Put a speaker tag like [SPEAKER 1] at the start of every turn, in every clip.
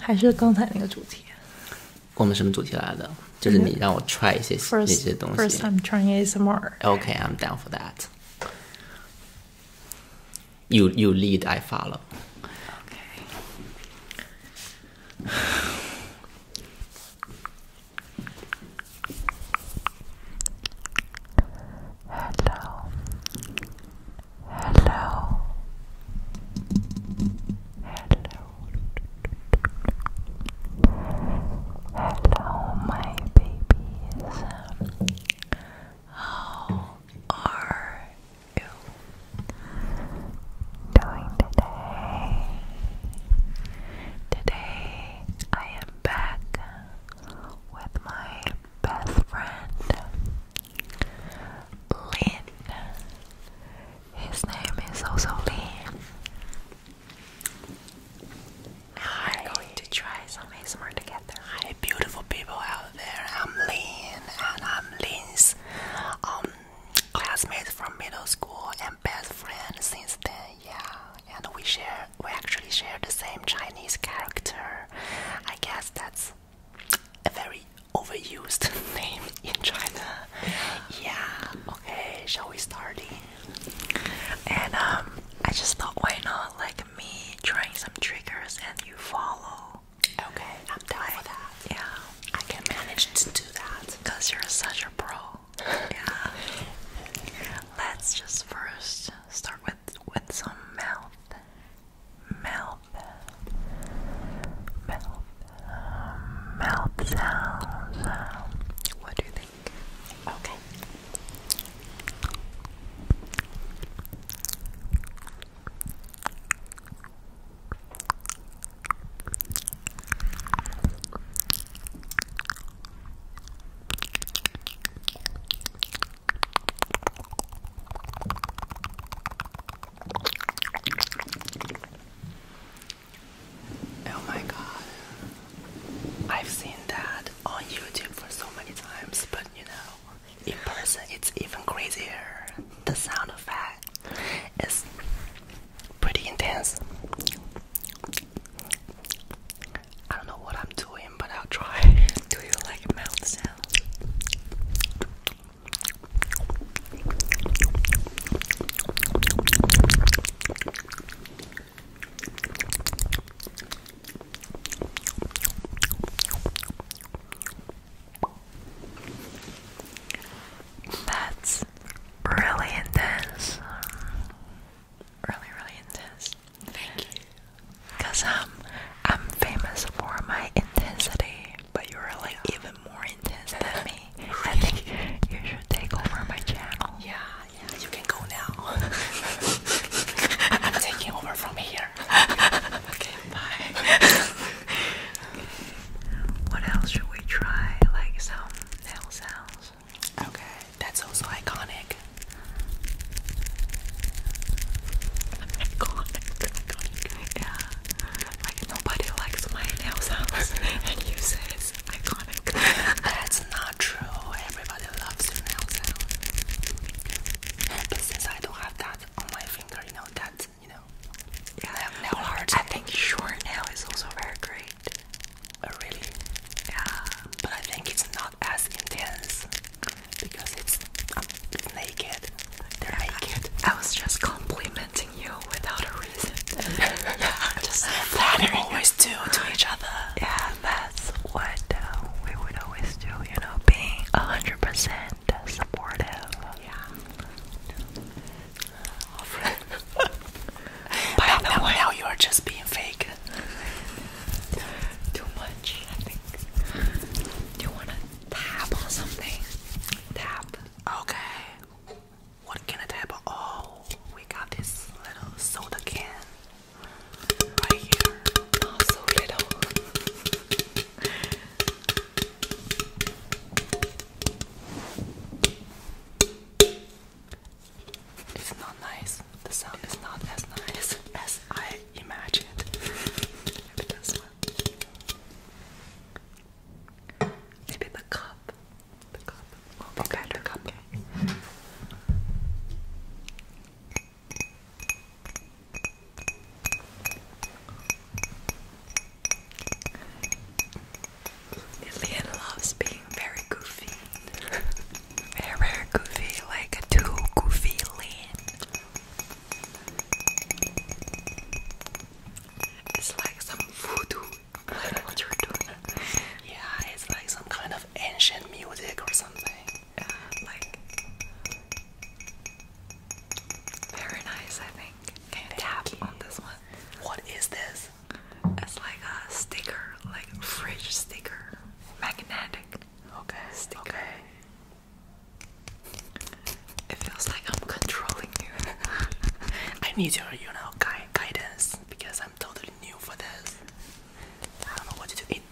[SPEAKER 1] 还是刚才那个主题。我们什么主题来的？就是你让我 try 一些那些东西。First, I'm trying ASMR. Okay, I'm down for that. You, you lead, I follow. Hello. Hello. Hello. Hello, my babies. How are you doing today? Today I am back with my best friend Lynn. His name is also Lynn. Hi. we going to try some ASMR together. Hi, beautiful people out there. I'm Lynn, and I'm Lynn's um, classmate from middle school and best friend since then. Yeah, and we share, we actually share the same Chinese character. I guess that that's a very overused name in China. Yeah, okay, shall we start? And um I just thought why not like me trying some triggers and you follow. Okay, I'm down for that. Yeah. I can manage to do that. Cause you're such a pro. yeah. Let's just first start with with with some mouth, mouth, mouth, mouth sounds. what do you think? Okay. Oh my god. I've seen that on YouTube for so many times, but you know, in person it's even crazier. The sound effect is pretty intense. I don't know what I'm doing, but I'll try. Do you like mouth sounds? That's really intense really, really intense. Thank you. Cause um, I'm famous for my intensity, but you're like even more intense than me. I think you should take over my channel. Yeah, yeah, you can go now. taking over from here. okay, bye. What else should we try? Like some nail sounds. Okay. That's also iconic. nobody likes my nail sounds and you say it's iconic. That's not true. Everybody loves nail sound. But since I don't have that on my finger, you know that you know. I have nail art. I think short nail is also very great. Oh, really? Yeah. But I think it's not as intense because um, it's, naked. They're naked. I was just complimenting you without a reason. just that we always do to each other. Yeah, that's what uh, we would always do. You know, being hundred percent supportive. Yeah. By the you are just being fake. Too much, I think. Do you want to tap on something? Tap. Okay. What can I tap on? Oh, we got this little soda can right here. Oh, so little. It's not nice. The sound is not as nice as I imagined. Maybe this one. Maybe the cup. okay, Okay. Oh, Lillian loves being very goofy. Very, goofy, like too goofy It's like some voodoo. I don't know what you're doing. Yeah, it's like some kind of ancient music or something. very nice, I think. Can tap on this one? What is this? It's like a sticker, like fridge sticker magnetic. Okay. Okay. It feels like I'm controlling you. I need your, you know, guidance because I'm totally new for this. I don't know what to do. It,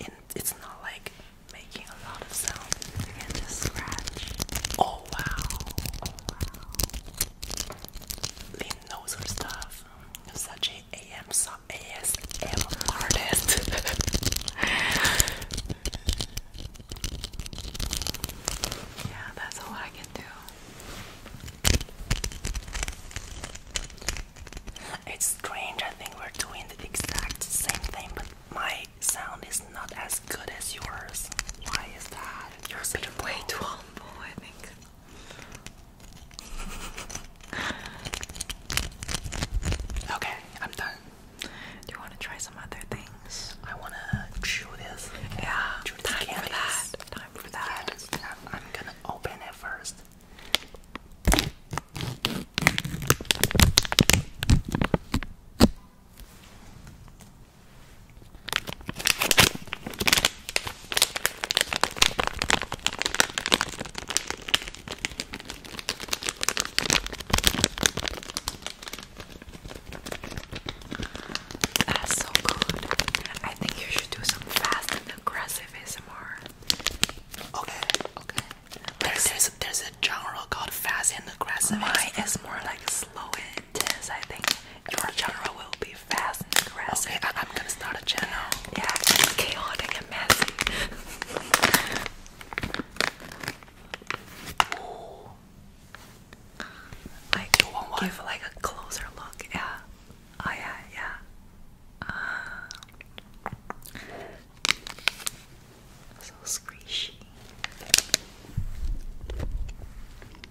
[SPEAKER 1] it, it's not like making a lot of sound. You can just scratch. Oh wow. Oh wow. Lynn knows her stuff such a AM ASM artist. yeah, that's all I can do. It's strange. I think we're doing the exact same thing, but my sound is not as good as yours. Why is that? Yours is way too humble, I think. Okay, I'm done. Do you want to try some other things? I want to chew this. Yeah, time for that. Time for that. I'm gonna open it first. That's so good. I think you should do some fast and aggressive ASMR. Okay, okay. There's there's, there's a genre called fast and aggressive. Mine is more like slow and intense. I think your channel will be fast and aggressive. Okay, I'm gonna start a channel. Yeah, chaotic and messy. Ooh. I you want give one? like a closer look. Yeah. Oh yeah, yeah. Uh, so squishy.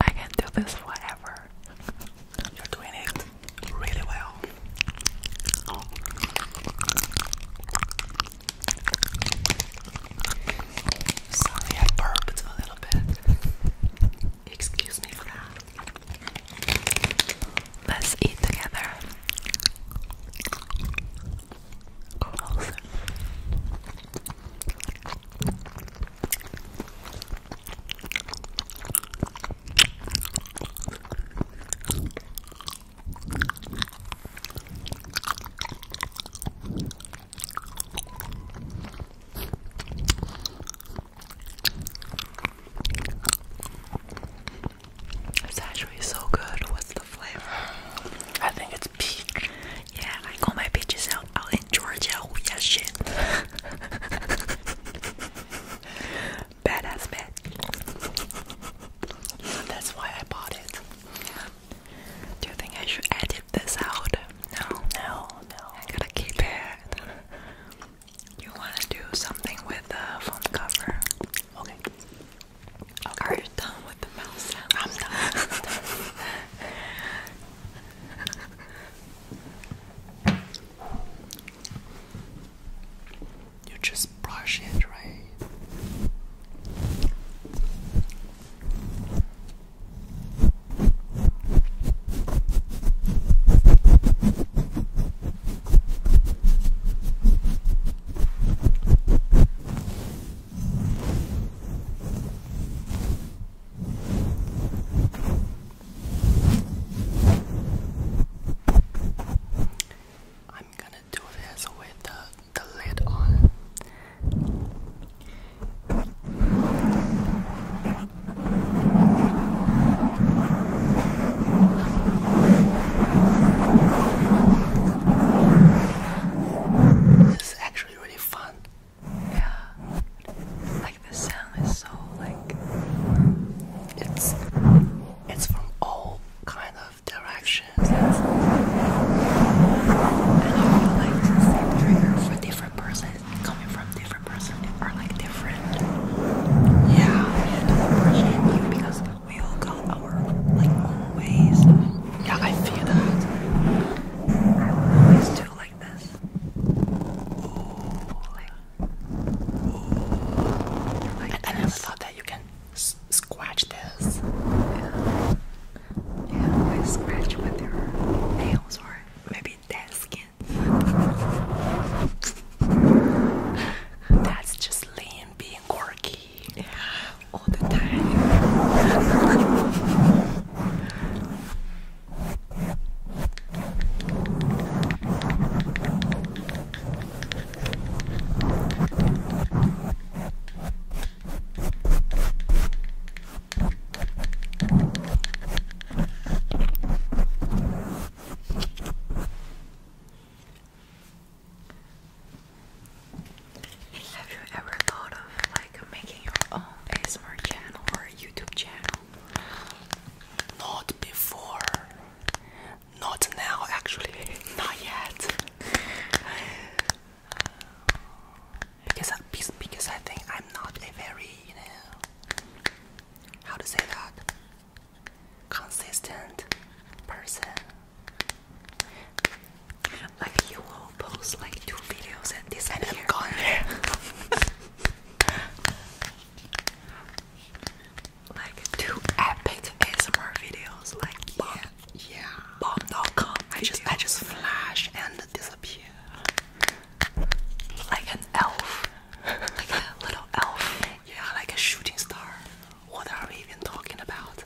[SPEAKER 1] I can do this forever. You're doing it really well. Sorry, I burped a little bit. Excuse me for that. Let's eat together. It's actually so good. What's the flavor? I think it's peach. Yeah, I call my peaches out, out in Georgia. Oh yeah, shit. badass bed. That's why I bought it. Do you think I should edit this out? No, no, no. I gotta keep it. You wanna do something with the phone cover? Okay. Are you done with the mouse I'm done. you just brush it, right? I'm gonna do this with the, the lid on. This is actually really fun. Yeah. Like the sound is so like it's it's from all kind of directions. And I like the same trigger for different person coming from different person are like different. Yeah, we have because we all got our like ways. Yeah, I feel that. I always do like this. I, never thought that you can scratch this. Yeah. yeah, like scratch with your nails or maybe dead skin. That's just Lynn being quirky. Yeah, all the time. Have you ever thought of like making your own ASMR channel or YouTube channel? Not before. Not now, actually, not yet. Uh, because, because I think I'm not a very, you know, how to say that, consistent person. Like you will post like two videos and this and I'm gone. like two epic ASMR videos, like bomb, yeah, yeah, bomb.com. I just I just flash and disappear, like an elf, like a little elf. Yeah, like a shooting star. What are we even talking about?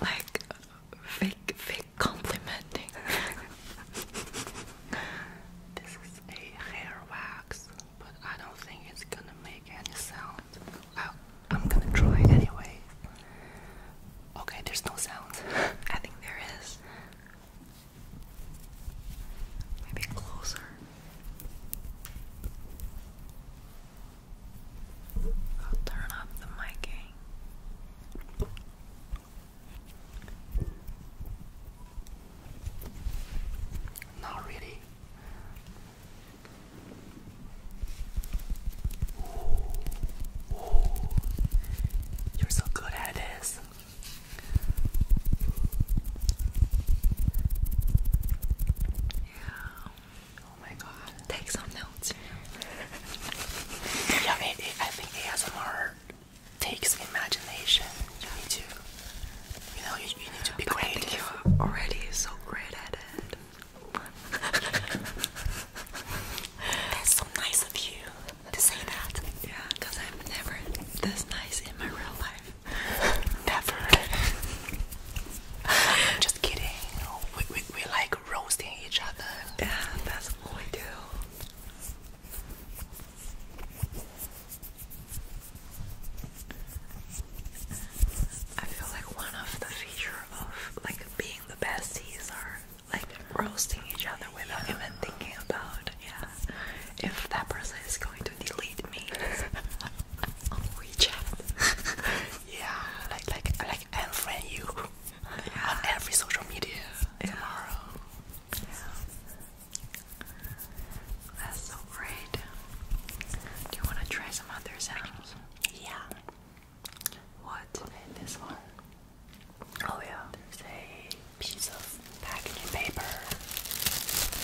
[SPEAKER 1] Like fake, fake complimenting. this is a hair wax but I don't think it's gonna make any sound. I, am gonna try anyway. Okay, there's no sound. I think there is. Maybe closer. I'll turn off the micing. Not really. You're so good at this. Yeah. Oh my god. Take some notes. yeah, it, it, I think ASMR takes imagination. You need to, you know, you, need to be great. you're already so great at it. That's so nice of you to say that. Yeah, because I'm never this nice in my real life. never. just kidding. We, we, we like roasting each other. Yeah, that's what we do. I feel like one of the feature of like being the besties are like roasting each other without even thinking about yeah if that person is going to delete me on WeChat. yeah, like like like unfriend you on every social media tomorrow. That's so great. Do you want to try some other sounds? Yeah. What? Okay, this one. Oh yeah. There's a piece of packaging paper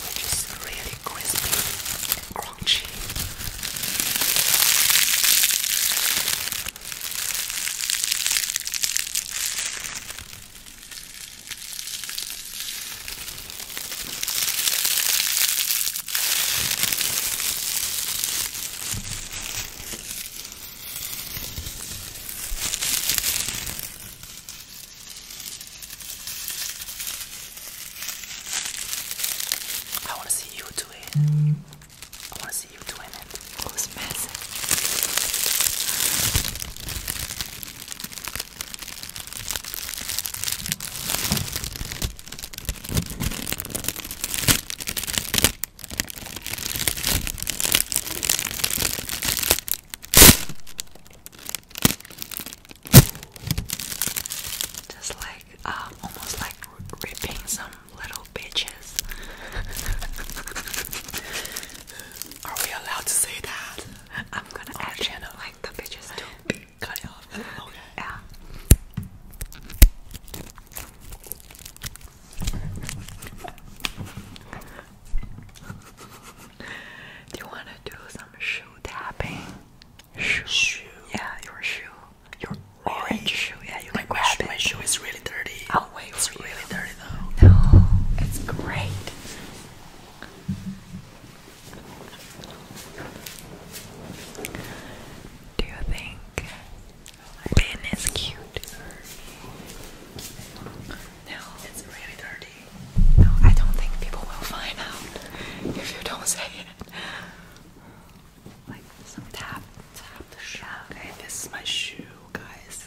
[SPEAKER 1] which is really crispy and crunchy. I want to see you do it. I want to see you doing it. It was massive. Just like, um, almost like ripping some little bitches. Are we allowed to say that? I'm gonna Our add channel like the bitches do. Cut it off. Okay. Yeah. do you wanna do some shoe tapping? Shoe. Yeah, your shoe. Your orange shoe. Yeah, you like grab my, it. my shoe is really dirty. I'll wait it's really dirty. No, it's great. Do you think Lynn is cute? No, it's really dirty. No, I don't think people will find out if you don't say it. Like some tap, tap the shoe. Okay, this is my shoe, guys.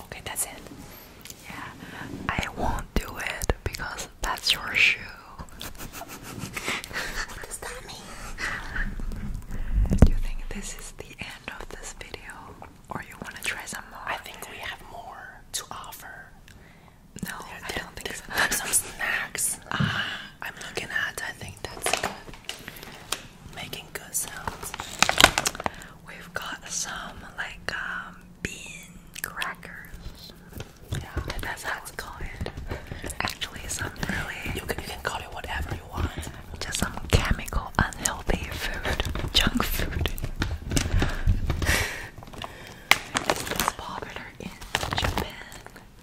[SPEAKER 1] Okay, that's it. Yeah, I won't do it because that's your shoe. what does that mean? Do you think this is the end of this video? Or you want to try some more? I think we have more to offer. No, I don't think so. some snacks. Ah. I'm looking at, I think that's good. Making good sounds. We've got some like um, bean crackers. Yeah, that's how it's it. Actually, some really. You can, you can call it whatever you want. Just some chemical, unhealthy food, junk food. it's popular in Japan.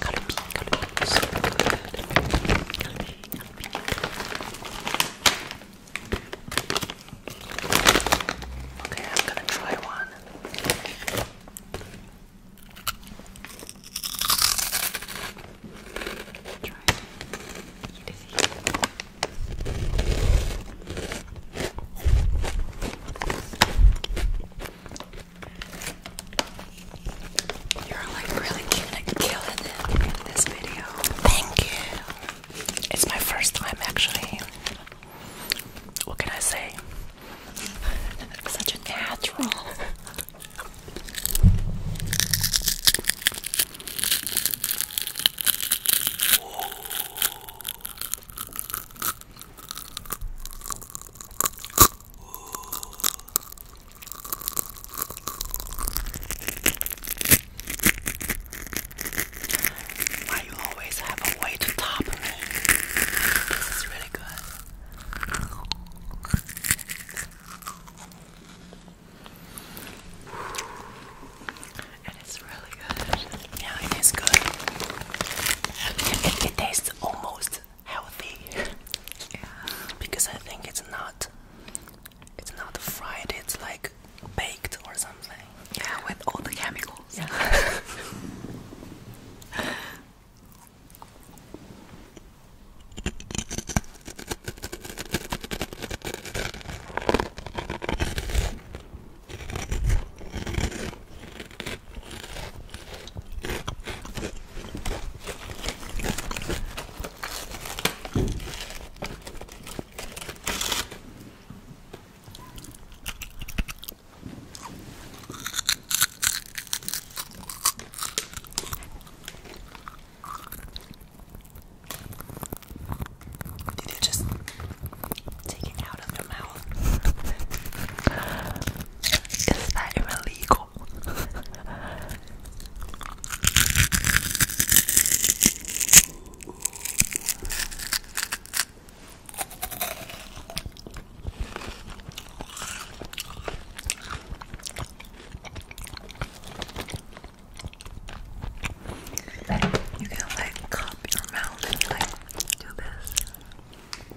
[SPEAKER 1] Kalupi, Kalupi, so good. Kalupi, Kalupi, Kalupi. Okay, I'm gonna try one. Try it. Eat it. You're like really killing it in this video. Thank you. It's my first time actually. What can I say? Such a natural. Why you always have a way to top me? This is really good. And it's really good. Yeah, it is good. It, it tastes almost healthy because I think it's not it's not fried, it's like baked or something. Yeah, with all the chemicals. Did you just take it out of the mouth? Is that even legal? You can like cup your mouth and like do this.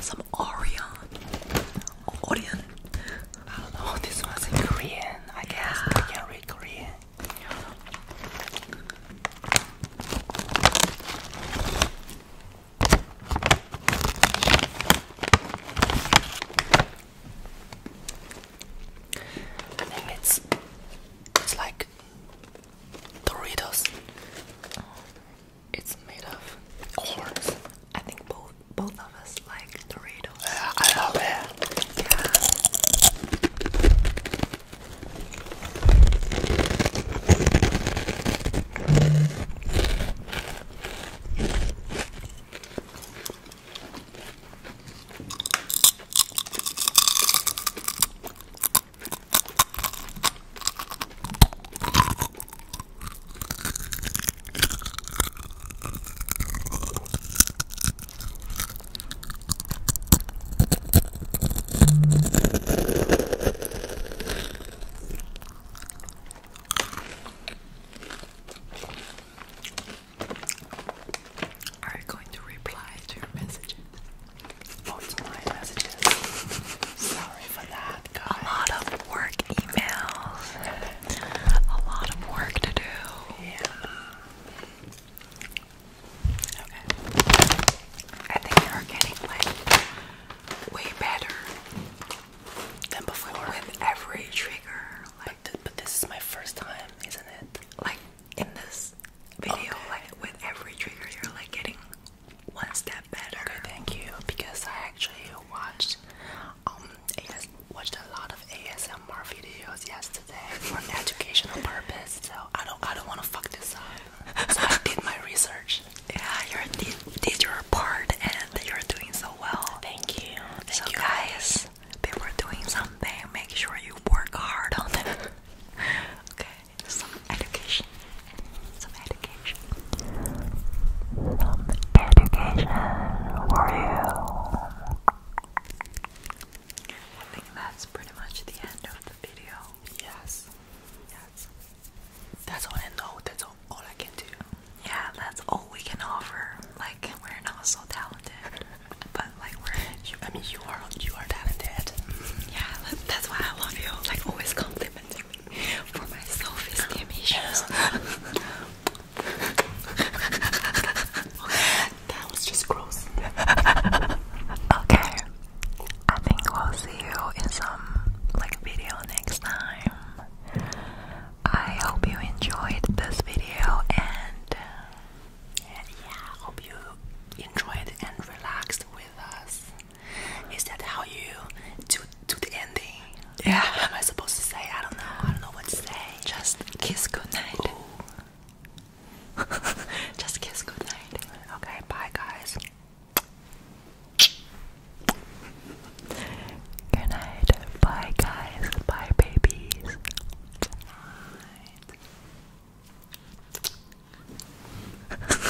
[SPEAKER 1] some Orion. Orion. I oh, don't know, this one's in Korean. I guess I can read Korean. I think it's it's like Doritos. It's made of course. I think both both of us like Doritos. I love it. Yeah. Are you going to reply to your messages? Oh, messages. Sorry for that. A lot of work emails. A lot of work to do. Yeah. I think they are getting like way better than before with every trigger. but, this is my first time, isn't it? Like in this video, like with every trigger, you're like getting one step better. Okay, thank you. Because I actually watched um AS watched a lot of ASMR videos yesterday for educational purpose. So I don't I don't want to fuck this up. I did my research. Yeah, you did, your part and you're doing so well. Thank you. so you guys, they were doing something. Make sure you work hard on it. okay, some education. Some education. Some education for you. I think that's pretty much the end of the video. Yes. Yes. That's all I know. That's all, all I can do. Yeah, that's all we can offer. Like we're not so talented, but like we're. You, I mean, you are you are talented. Yeah, that's why I love you. Like always compliment for my self-esteem that was just gross. okay, I think we'll see you in some like video next time. I hope you enjoyed this video and uh, yeah, hope you enjoyed and relaxed with us. Is that how you do do the ending? Yeah. How am I supposed to say? I don't know. I don't know what to say. Just kiss goodnight. Just kiss goodnight. Okay, bye guys. Good night. Bye guys. Bye babies.